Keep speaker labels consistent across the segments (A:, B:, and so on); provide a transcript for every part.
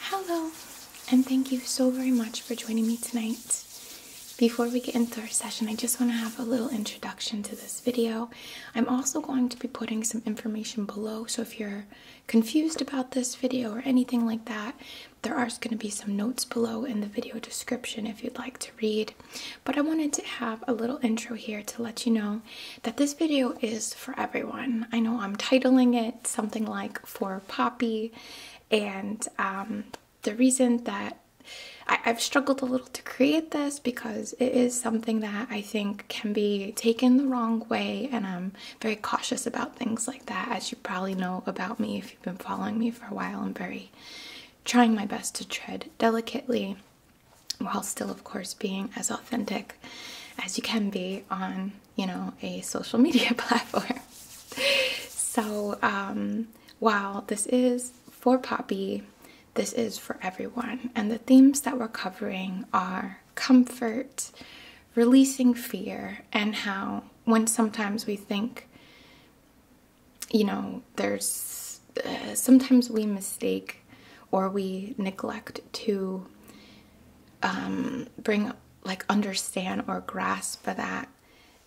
A: Hello, and thank you so very much for joining me tonight. Before we get into our session, I just want to have a little introduction to this video. I'm also going to be putting some information below, so if you're confused about this video or anything like that, there are going to be some notes below in the video description if you'd like to read, but I wanted to have a little intro here to let you know that this video is for everyone. I know I'm titling it something like For Poppy, and um, the reason that I've struggled a little to create this because it is something that I think can be taken the wrong way, and I'm very cautious about things like that, as you probably know about me if you've been following me for a while. I'm very trying my best to tread delicately while still of course being as authentic as you can be on you know a social media platform so um, while this is for poppy this is for everyone and the themes that we're covering are comfort releasing fear and how when sometimes we think you know, there's uh, sometimes we mistake or we neglect to um, bring, like, understand or grasp that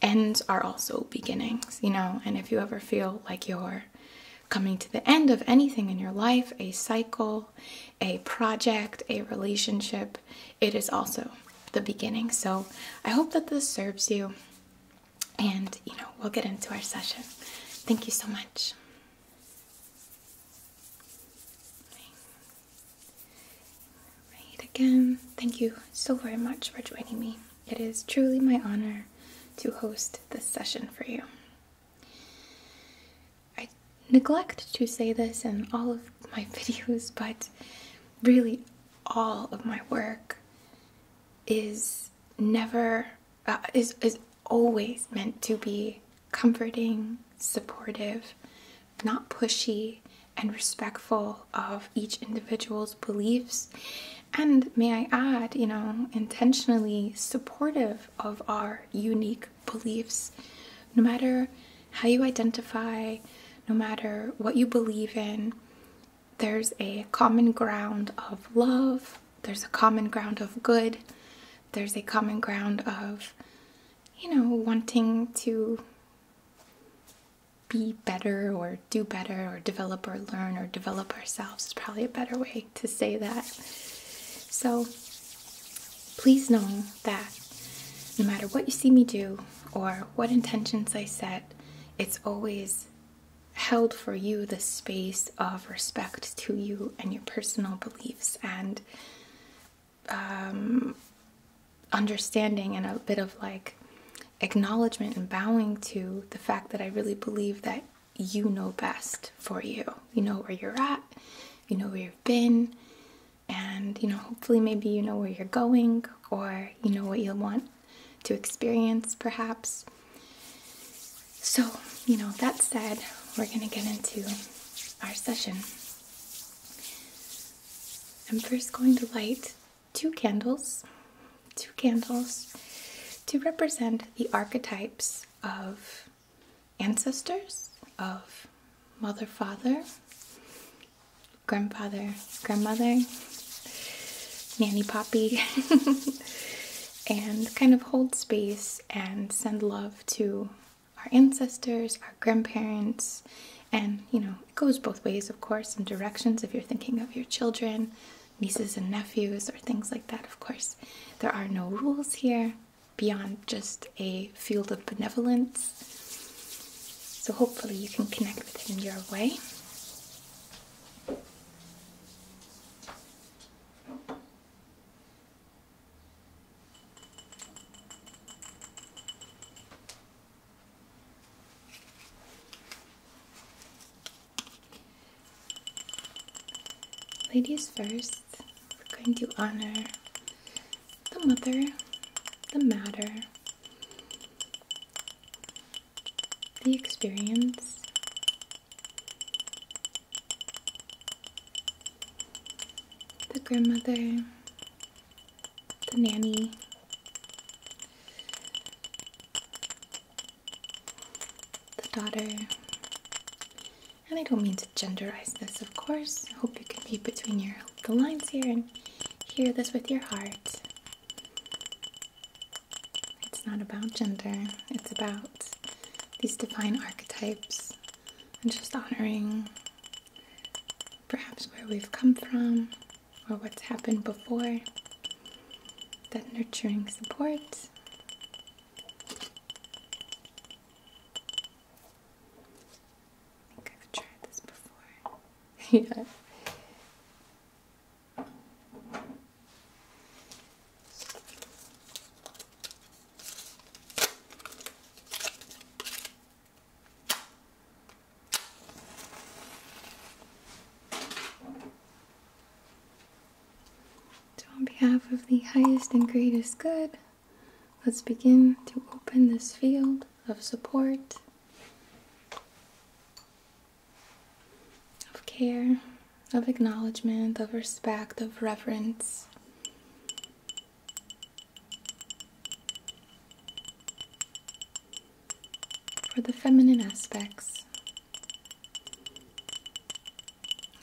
A: ends are also beginnings, you know. And if you ever feel like you're coming to the end of anything in your life, a cycle, a project, a relationship, it is also the beginning. So I hope that this serves you and you know we'll get into our session. Thank you so much. Right again, thank you so very much for joining me. It is truly my honor to host this session for you. I neglect to say this in all of my videos, but really all of my work is never uh, is is always meant to be comforting, supportive, not pushy, and respectful of each individual's beliefs. And may I add, you know, intentionally supportive of our unique beliefs. No matter how you identify, no matter what you believe in, there's a common ground of love, there's a common ground of good, there's a common ground of, you know, wanting to be better or do better or develop or learn or develop ourselves It's probably a better way to say that. So please know that no matter what you see me do or what intentions I set, it's always held for you the space of respect to you and your personal beliefs and um, understanding and a bit of like acknowledgement and bowing to the fact that I really believe that you know best for you. You know where you're at, you know where you've been, and you know, hopefully, maybe you know where you're going or you know what you want to experience, perhaps. So, you know, that said, we're going to get into our session. I'm first going to light two candles, two candles to represent the archetypes of ancestors, of mother, father, grandfather, grandmother, Nanny Poppy, and kind of hold space and send love to our ancestors, our grandparents, and you know, it goes both ways, of course, in directions if you're thinking of your children, nieces and nephews, or things like that, of course. There are no rules here beyond just a field of benevolence. So hopefully you can connect with it in your way. Ladies first, we're going to honor the mother, the matter, the experience. The grandmother, the nanny, the daughter. And I don't mean to genderize this, of course. I hope you can be between your the lines here and hear this with your heart. It's not about gender, it's about these divine archetypes and just honoring perhaps where we've come from or what's happened before. That nurturing support. I think I've tried this before. yeah. So, on behalf of the highest and greatest good, let's begin to open this field of support of care, of acknowledgement, of respect, of reverence. For the feminine aspects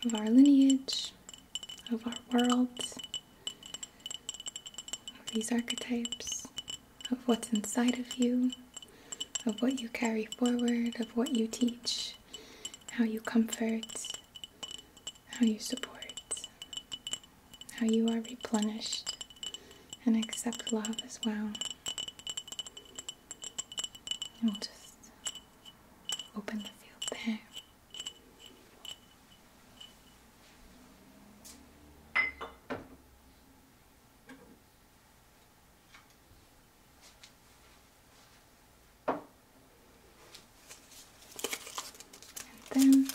A: of our lineage, of our world, of these archetypes of what's inside of you, of what you carry forward, of what you teach, how you comfort, how you support, how you are replenished, and accept love as well. We'll just open the field there. And then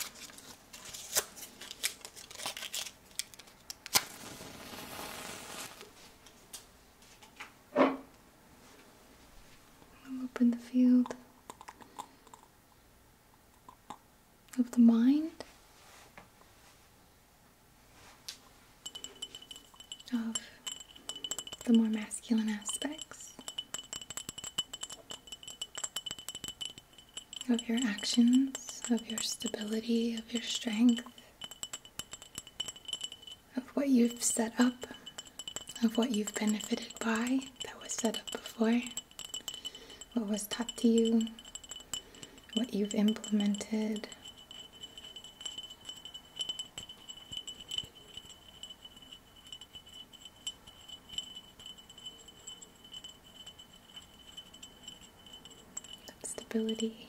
A: I'll open the field of the mind of the more masculine aspects of your actions, of your stability, of your strength, of what you've set up, of what you've benefited by that was set up before, what was taught to you, what you've implemented. stability.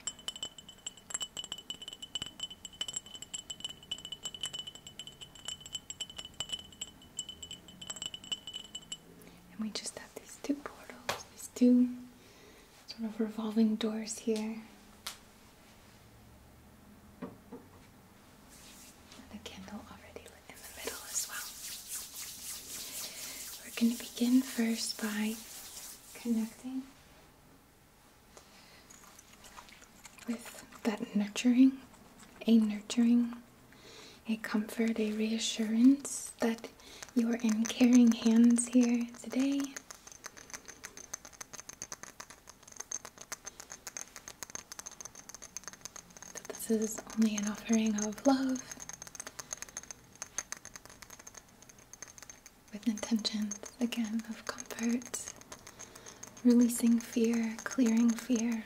A: And we just have these two portals, these two sort of revolving doors here. And candle already lit in the middle as well. We're going to begin first by connecting with that nurturing, a nurturing, a comfort, a reassurance that you are in caring hands here today. this is only an offering of love with intentions again of comfort, releasing fear, clearing fear,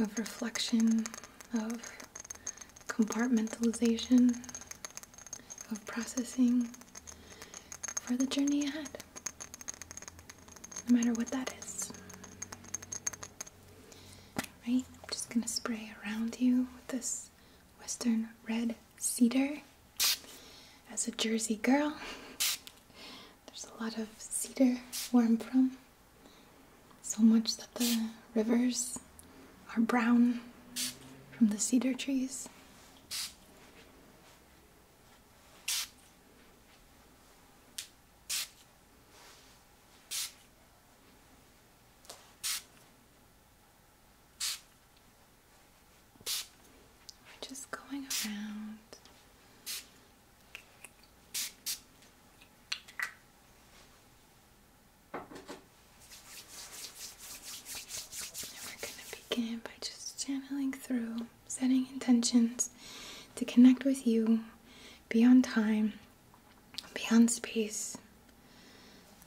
A: of reflection, of compartmentalization of processing for the journey ahead, no matter what that is. Right? I'm just gonna spray around you with this Western Red Cedar. As a Jersey girl, there's a lot of cedar where I'm from. So much that the rivers are brown from the cedar trees. We're just going around. And we're going to begin by just channeling through, setting intentions to connect with you be on time, be on space.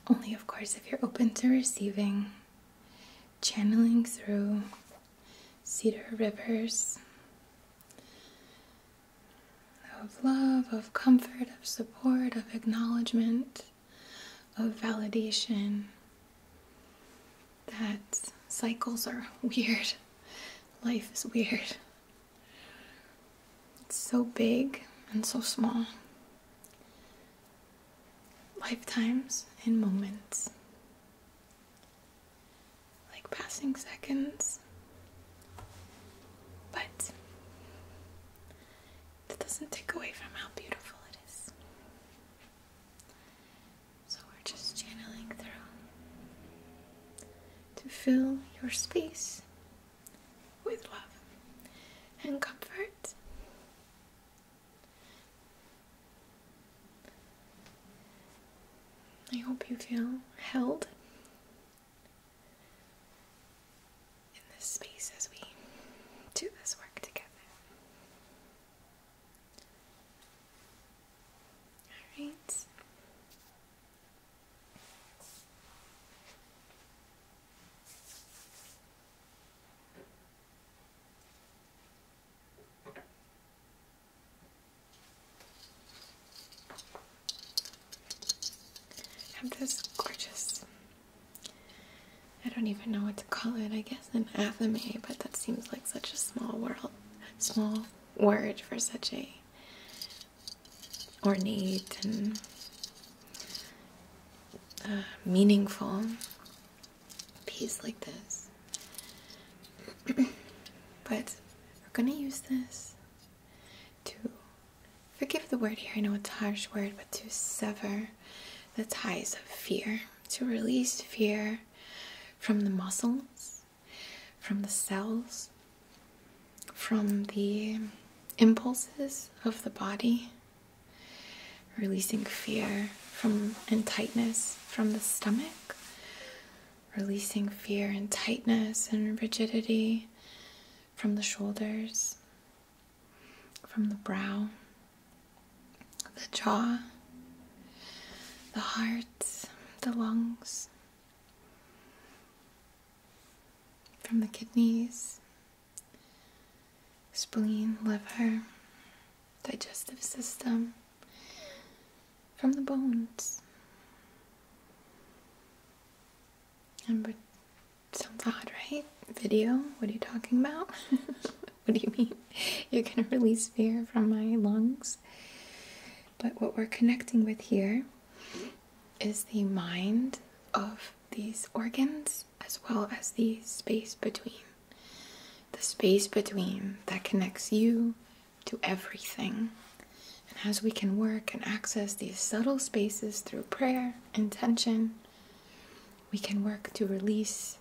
A: Only, of course, if you're open to receiving, channeling through cedar rivers, of love, of comfort, of support, of acknowledgement, of validation. That cycles are weird. Life is weird. It's so big and so small. Lifetimes and moments. Like passing seconds. But that doesn't take away from how beautiful it is. So we're just channeling through to fill your space with love and comfort. I hope you feel held in this space as we do this work together. Alright. I'm just gorgeous I don't even know what to call it, I guess an athame, but that seems like such a small world small word for such a ornate and uh, meaningful piece like this. but we're gonna use this to Forgive the word here, I know it's a harsh word, but to sever the ties of fear, to release fear from the muscles, from the cells, from the impulses of the body, releasing fear from and tightness from the stomach, releasing fear and tightness and rigidity from the shoulders, from the brow, the jaw, the heart, the lungs, from the kidneys, spleen, liver, digestive system, from the bones. Number sounds odd, right? Video? What are you talking about? what do you mean? You're gonna release fear from my lungs? But what we're connecting with here is the mind of these organs as well as the space between. The space between that connects you to everything. And as we can work and access these subtle spaces through prayer, intention, we can work to release,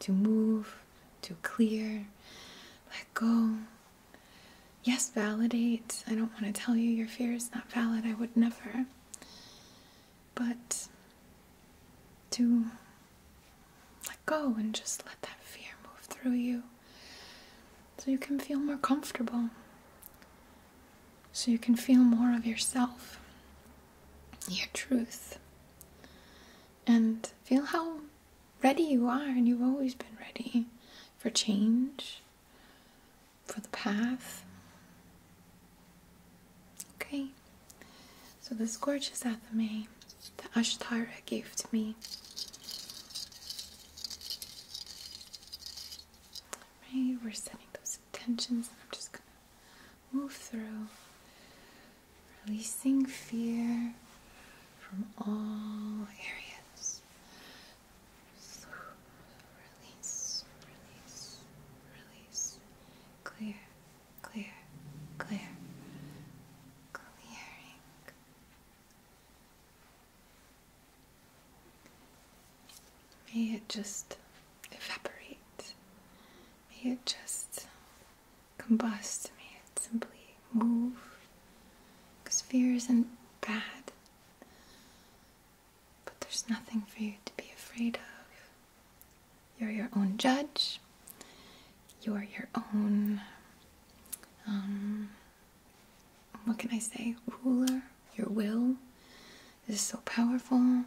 A: to move, to clear, let go. Yes, validate. I don't want to tell you your fear is not valid. I would never. But to let go and just let that fear move through you so you can feel more comfortable, so you can feel more of yourself, your truth, and feel how ready you are, and you've always been ready for change, for the path. Okay, so this gorgeous athame that Ashtara gave to me we're setting those intentions, and I'm just gonna move through, releasing fear from all areas. Release, release, release. Clear, clear, clear. Clearing. May it just evaporate. May it just combust. May it simply move. Because fear isn't bad. But there's nothing for you to be afraid of. You're your own judge. You're your own um, what can I say? Ruler, your will is so powerful. You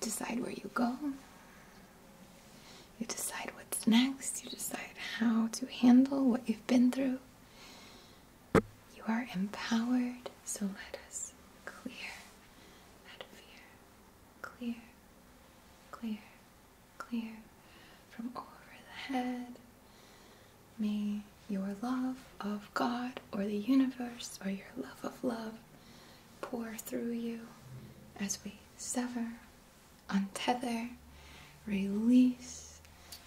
A: decide where you go. You decide what's next. You decide how to handle what you've been through. You are empowered, so let us clear out fear. Clear, clear, clear from over the head. May your love of God or the universe or your love of love pour through you as we sever, untether, release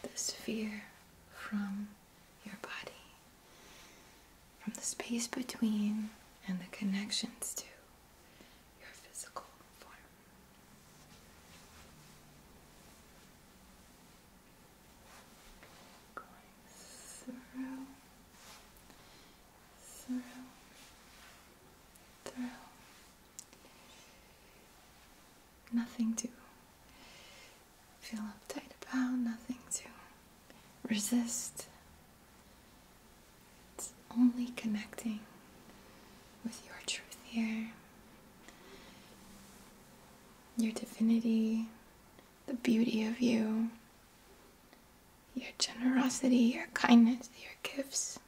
A: this fear from your body, from the space between and the connections to your physical form through, through, through. Nothing to feel uptight about, nothing to resist. It's only connecting with your truth here your divinity, the beauty of you, your generosity, your kindness, your gifts,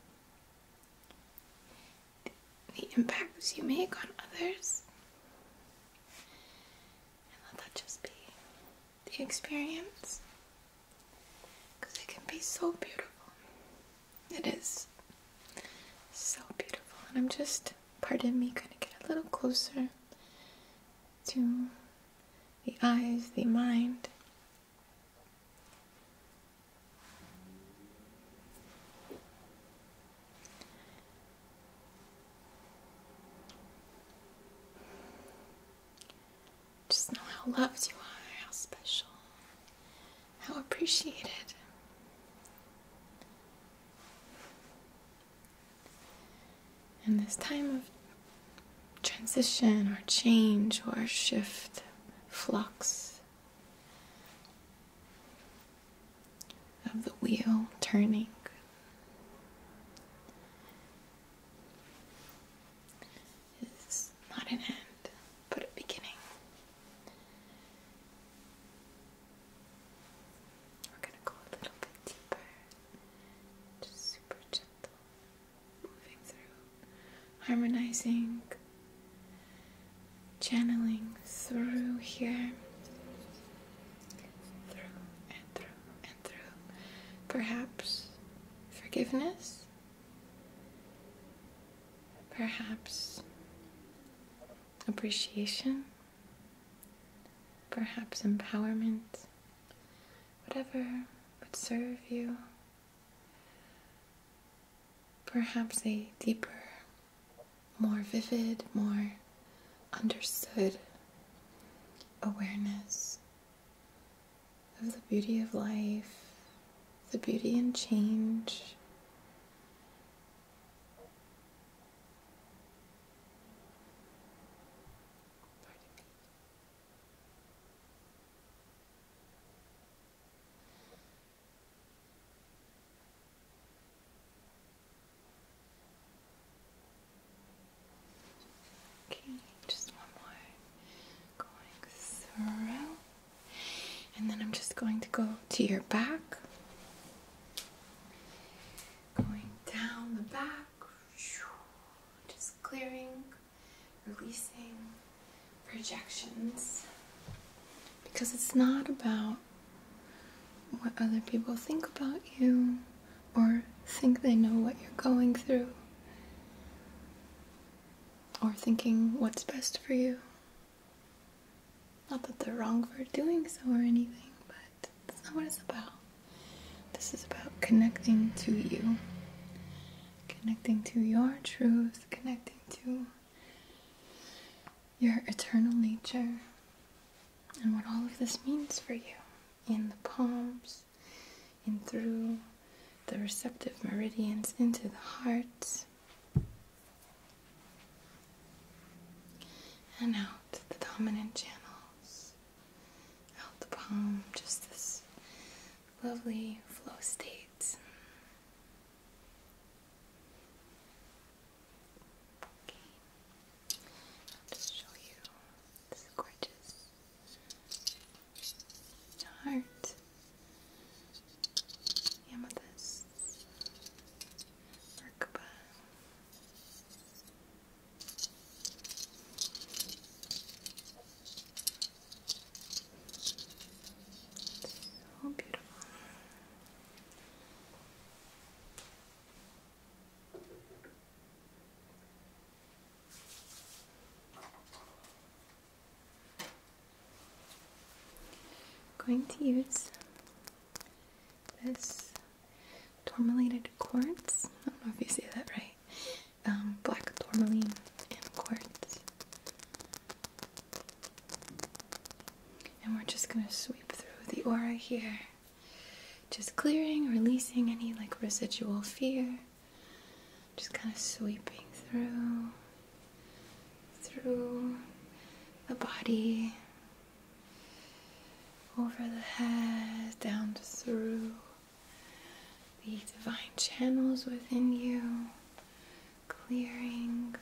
A: the, impacts you make on others. And let that just be the experience because it can be so beautiful. It is so beautiful. And I'm just, pardon me, gonna get a little closer to the eyes, the mind. Just know how loved you are, how special, how appreciated. In this time of transition or change or shift, flux of the wheel turning, is not an end, but a beginning. We're going to go a little bit deeper, just super gentle, moving through, harmonizing, channeling through here, through and through and through. Perhaps forgiveness perhaps appreciation, perhaps empowerment, whatever would serve you, perhaps a deeper, more vivid, more understood awareness of the beauty of life the beauty and change. Okay, just one more going through. And then I'm just going to go to your back. Going down the back. Just clearing, releasing projections. Because it's not about what other people think about you or think they know what you're going through or thinking what's best for you. Not that they're wrong for doing so or anything, but that's not what it's about. This is about connecting to you, connecting to your truth, connecting to your eternal nature, and what all of this means for you in the palms, in through the receptive meridians, into the heart and out the dominant channels, out the palm, just this lovely flow state. Okay. I'll just show you this gorgeous heart, amethyst, merkaba. So oh, beautiful. I'm going to use this tourmalated quartz. I don't know if you say that right. Um, black tourmaline and quartz. And we're just going to sweep through the aura here. Just clearing, releasing any like residual fear just kind of sweeping through, through the body, over the head, down through the divine channels within you, clearing.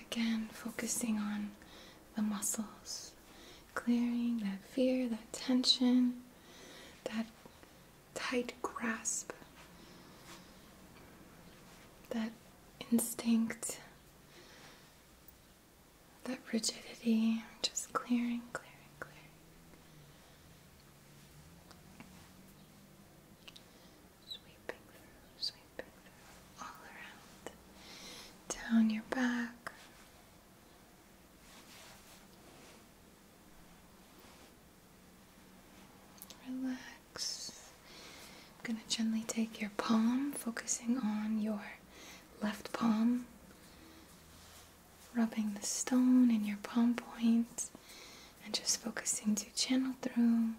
A: Again, focusing on the muscles, clearing that fear, that tension, that tight grasp, that instinct, that rigidity, just clearing, clearing, clearing. Sweeping through, sweeping through, all around, down your back. Relax. I'm going to gently take your palm, focusing on your left palm, rubbing the stone in your palm point, points, and just focusing to channel through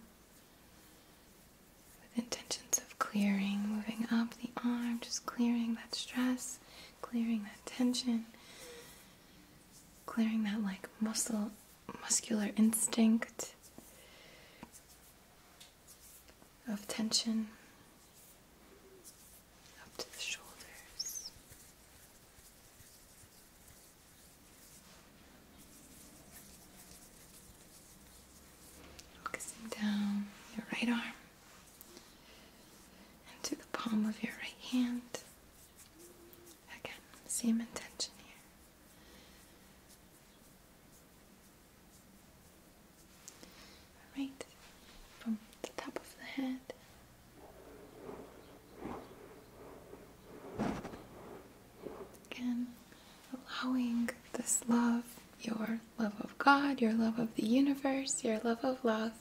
A: with intentions of clearing, moving up the arm, just clearing that stress, clearing that tension clearing that like muscle muscular instinct of tension up to the shoulders. Focusing down your right arm and to the palm of your right hand. Again, same intention here. Alright, from the top of the head. Again, allowing this love, your love of God, your love of the universe, your love of love,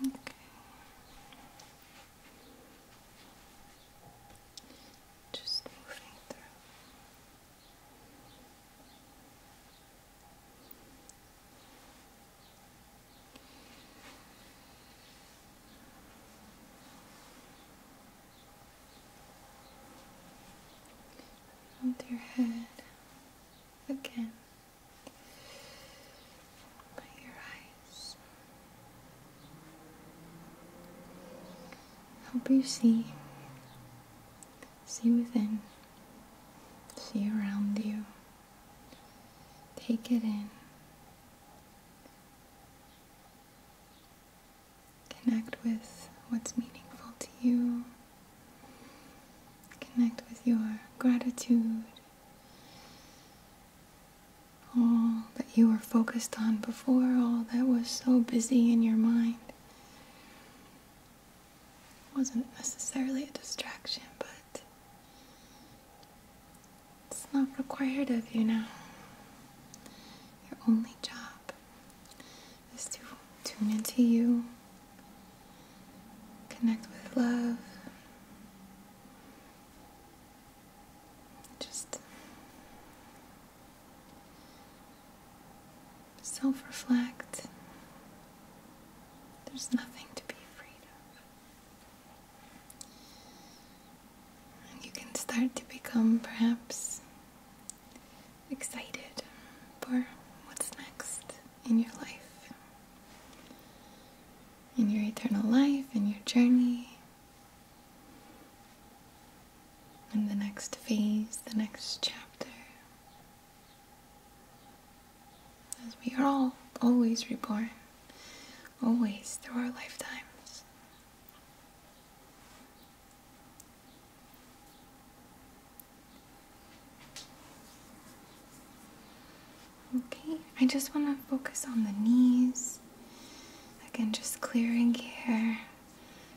A: Okay. Just moving through. Around your head again by your eyes. Help you see, see within, see around you. Take it in. Connect with what's meaningful to you. Connect with your gratitude all that you were focused on before, all that was so busy in your mind. wasn't necessarily a distraction, but it's not required of you now. Your only job is to tune into you, connect with love, just self reflect. There's nothing to be afraid of. And you can start to become perhaps excited for what's next in your life, in your eternal life, in your journey, in the next phase, the next chapter. As we are all always reborn, always through our lifetimes. Okay, I just want to focus on the knees. Again, just clearing here,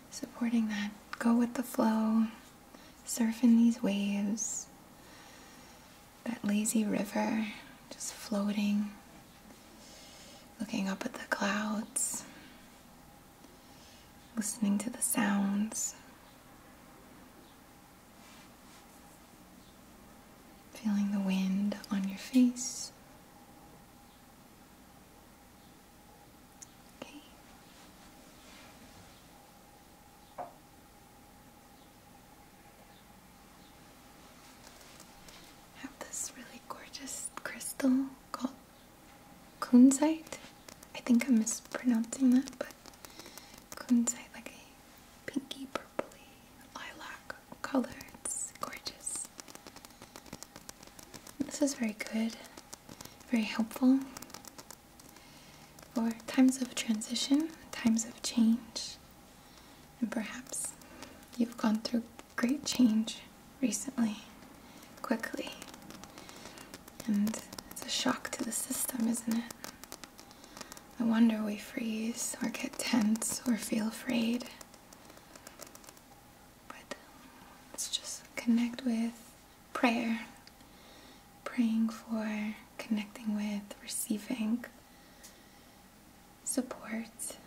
A: supporting that. Go with the flow, surfing these waves, that lazy river, just floating, looking up at the clouds, listening to the sounds. Feeling the wind on your face. Okay. Have this really gorgeous crystal called kunzite. I think I'm mispronouncing that, but could like a pinky purpley lilac color. It's gorgeous. This is very good, very helpful for times of transition, times of change, and perhaps you've gone through great change recently, quickly. And it's a shock to the system, isn't it? I wonder we freeze or get tense or feel afraid. But let's just connect with prayer. Praying for, connecting with, receiving support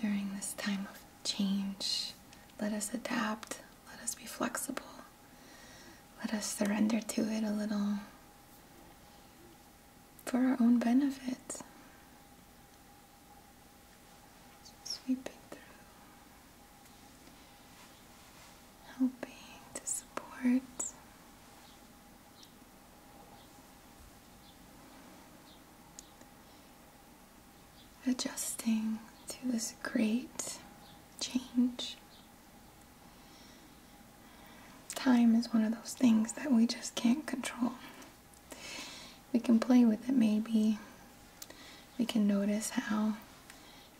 A: during this time of change. Let us adapt. Let us be flexible. Let us surrender to it a little for our own benefit. Sweeping through, helping to support. Adjusting to this great change Time is one of those things that we just can't control. We can play with it maybe. We can notice how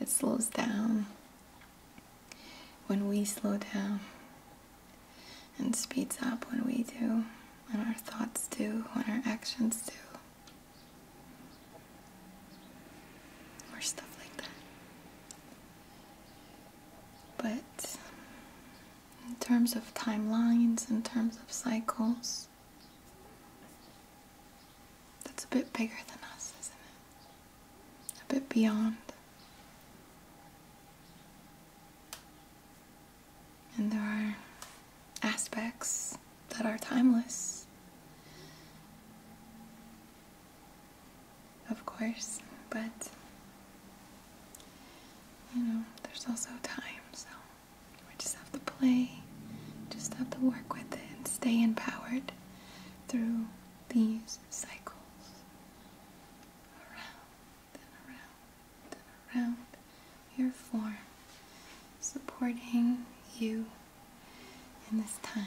A: it slows down when we slow down and speeds up when we do, when our thoughts do, when our actions do. or Stuff like that. But in terms of timelines, in terms of cycles, that's a bit bigger than us, isn't it? A bit beyond. And there are aspects that are timeless of course, but you know, there's also time, so we just have to play, just have to work with it and stay empowered through these cycles around and around and around your form, supporting you in this time.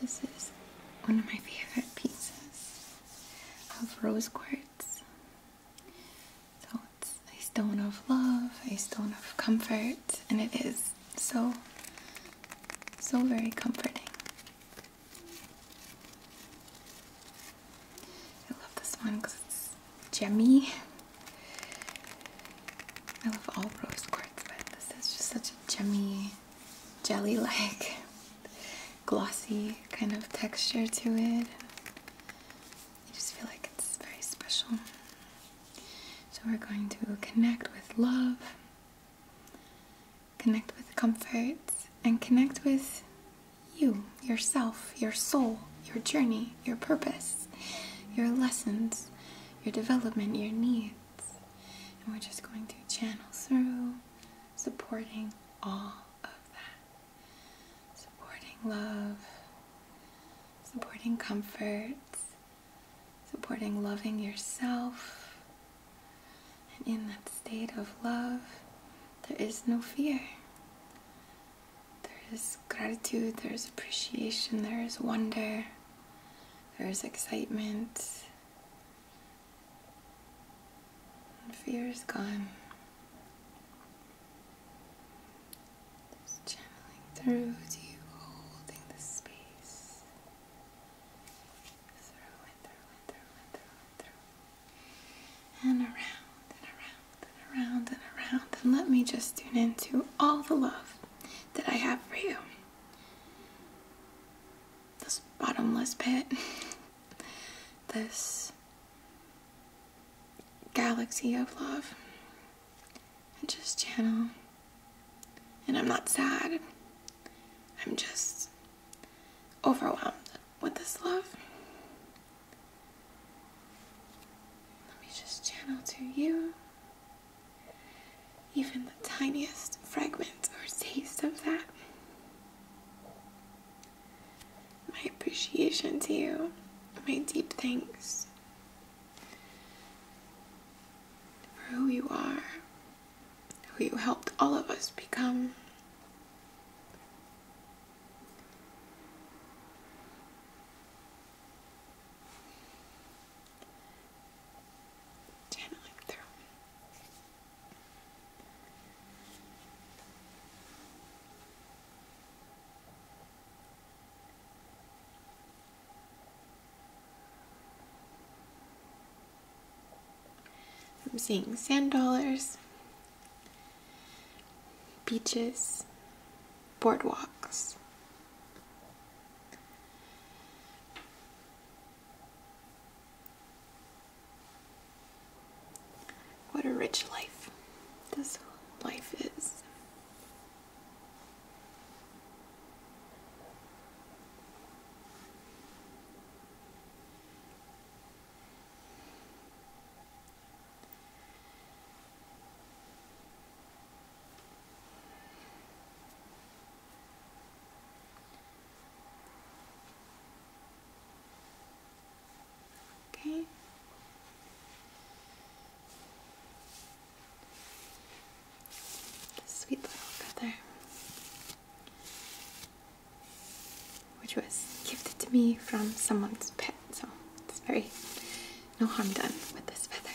A: This is one of my favorite pieces of rose quartz. So it's a stone of love, a stone of comfort, and it is so, so very comforting. I love this one because it's jemmy. I love all rose quartz, but this is just such a jemmy jelly like glossy kind of texture to it. I just feel like it's very special. So we're going to connect with love, connect with comfort, and connect with you, yourself, your soul, your journey, your purpose, your lessons, your development, your needs. And we're just going to channel through, supporting all of that. Supporting love, supporting comforts. supporting loving yourself. And in that state of love, there is no fear. There is gratitude, there is appreciation, there is wonder, there is excitement Fear is gone. channeling through you, holding the space. And around and around and around and around. And let me just tune into all the love that I have for you this bottomless pit, this galaxy of love, and just channel. And I'm not sad, I'm just overwhelmed with this love. Let me just channel to you even the tiniest fragment or taste of that. My appreciation to you, my deep thanks for who you are, who you helped all of us become. I'm seeing sand dollars, beaches, boardwalks. What a rich life this life is. Okay. Sweet little feather, which was gifted to me from someone's pet, so it's very no harm done with this feather.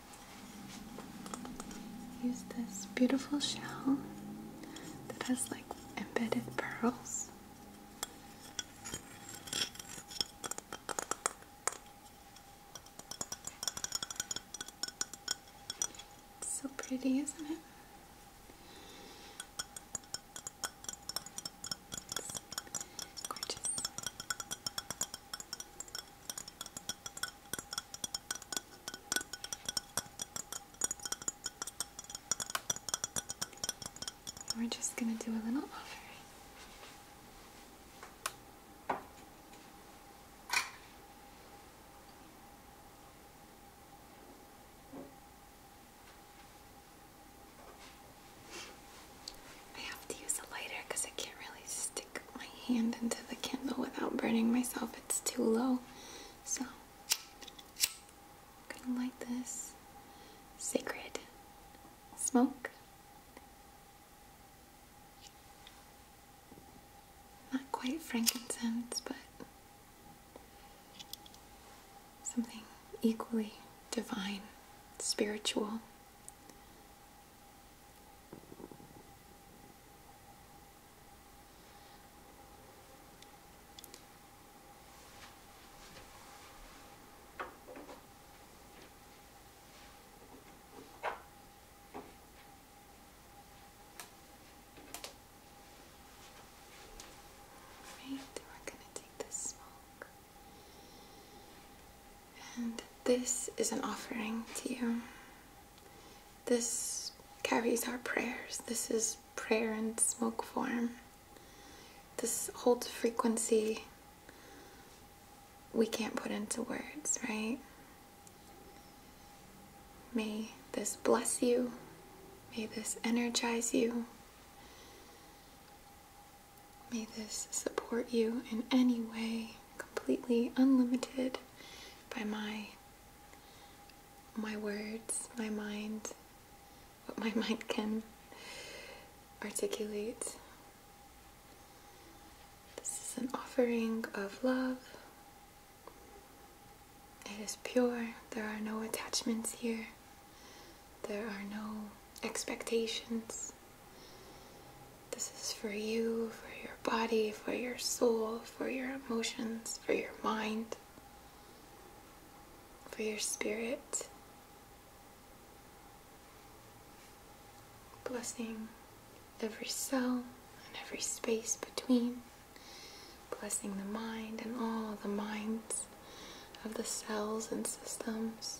A: Use this beautiful shell that has like embedded pearls. so pretty, isn't it? gorgeous. We're just going to do a little offering. I have to use a lighter because I can't really see my hand into the candle without burning myself. It's too low. So, I'm gonna light this sacred smoke. Not quite frankincense, but something equally divine, spiritual, Right, are going to take this smoke. And this is an offering to you. This carries our prayers. This is prayer in smoke form. This holds frequency we can't put into words, right? May this bless you. May this energize you. May this support you in any way, completely unlimited by my my words, my mind, what my mind can articulate. This is an offering of love. It is pure. There are no attachments here. There are no expectations. This is for you, for your body, for your soul, for your emotions, for your mind, for your spirit. Blessing every cell and every space between. Blessing the mind and all the minds of the cells and systems.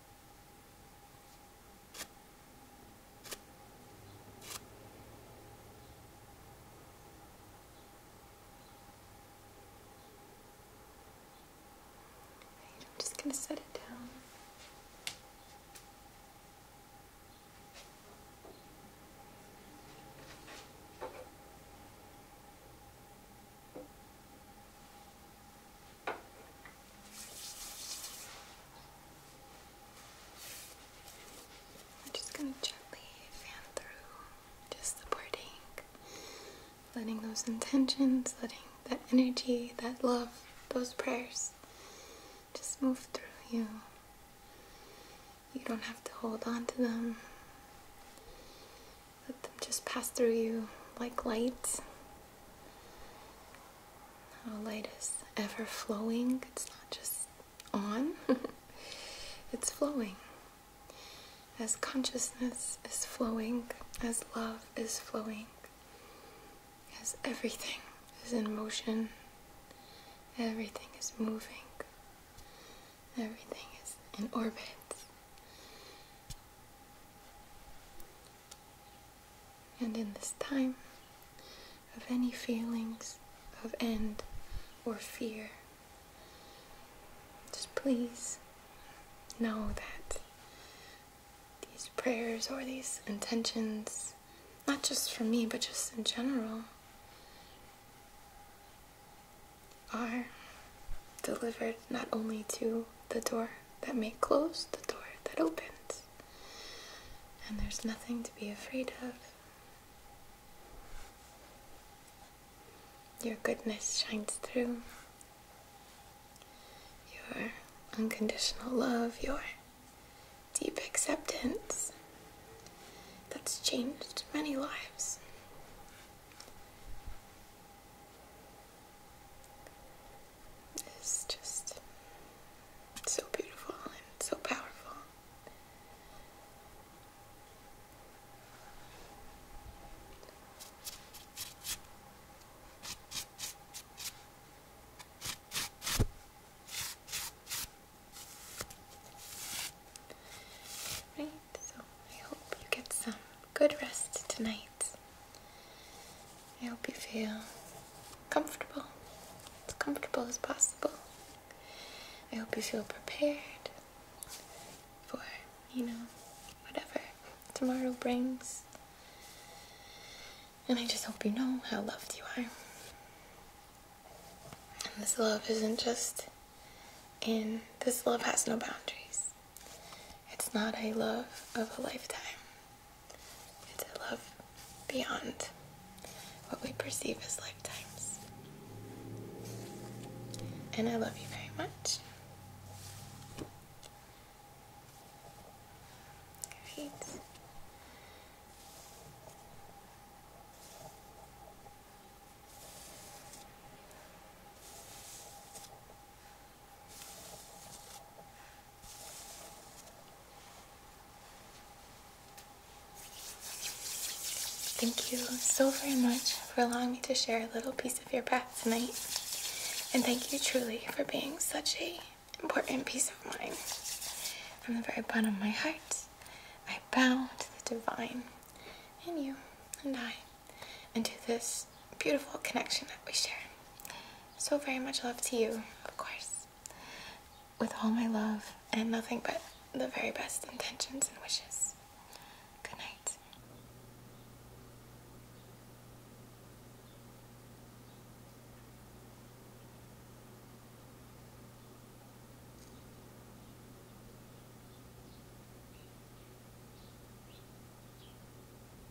A: I'm just going to set it down. I'm just going to gently fan through, just supporting, letting those intentions, letting that energy, that love, those prayers just move through you. You don't have to hold on to them. Let them just pass through you like light. How light is ever flowing. It's not just on, it's flowing. As consciousness is flowing, as love is flowing, as everything is in motion, everything is moving, everything is in orbit. And in this time of any feelings of end or fear, just please know that these prayers or these intentions, not just for me, but just in general, are delivered not only to the door that may close, the door that opens and there's nothing to be afraid of. Your goodness shines through. Your unconditional love, your deep acceptance that's changed many lives. It's just so beautiful and so powerful. Right, so I hope you get some good rest tonight. I hope you feel comfortable, as comfortable as possible. I hope you feel prepared for, you know, whatever tomorrow brings. And I just hope you know how loved you are. And this love isn't just in, this love has no boundaries. It's not a love of a lifetime and to love beyond what we perceive as lifetimes. And I love you very much. Great. Thank you so very much for allowing me to share a little piece of your path tonight. And thank you truly for being such an important piece of mine. From the very bottom of my heart, I bow to the divine and you and I and to this beautiful connection that we share. So very much love to you, of course, with all my love and nothing but the very best intentions and wishes. Good night.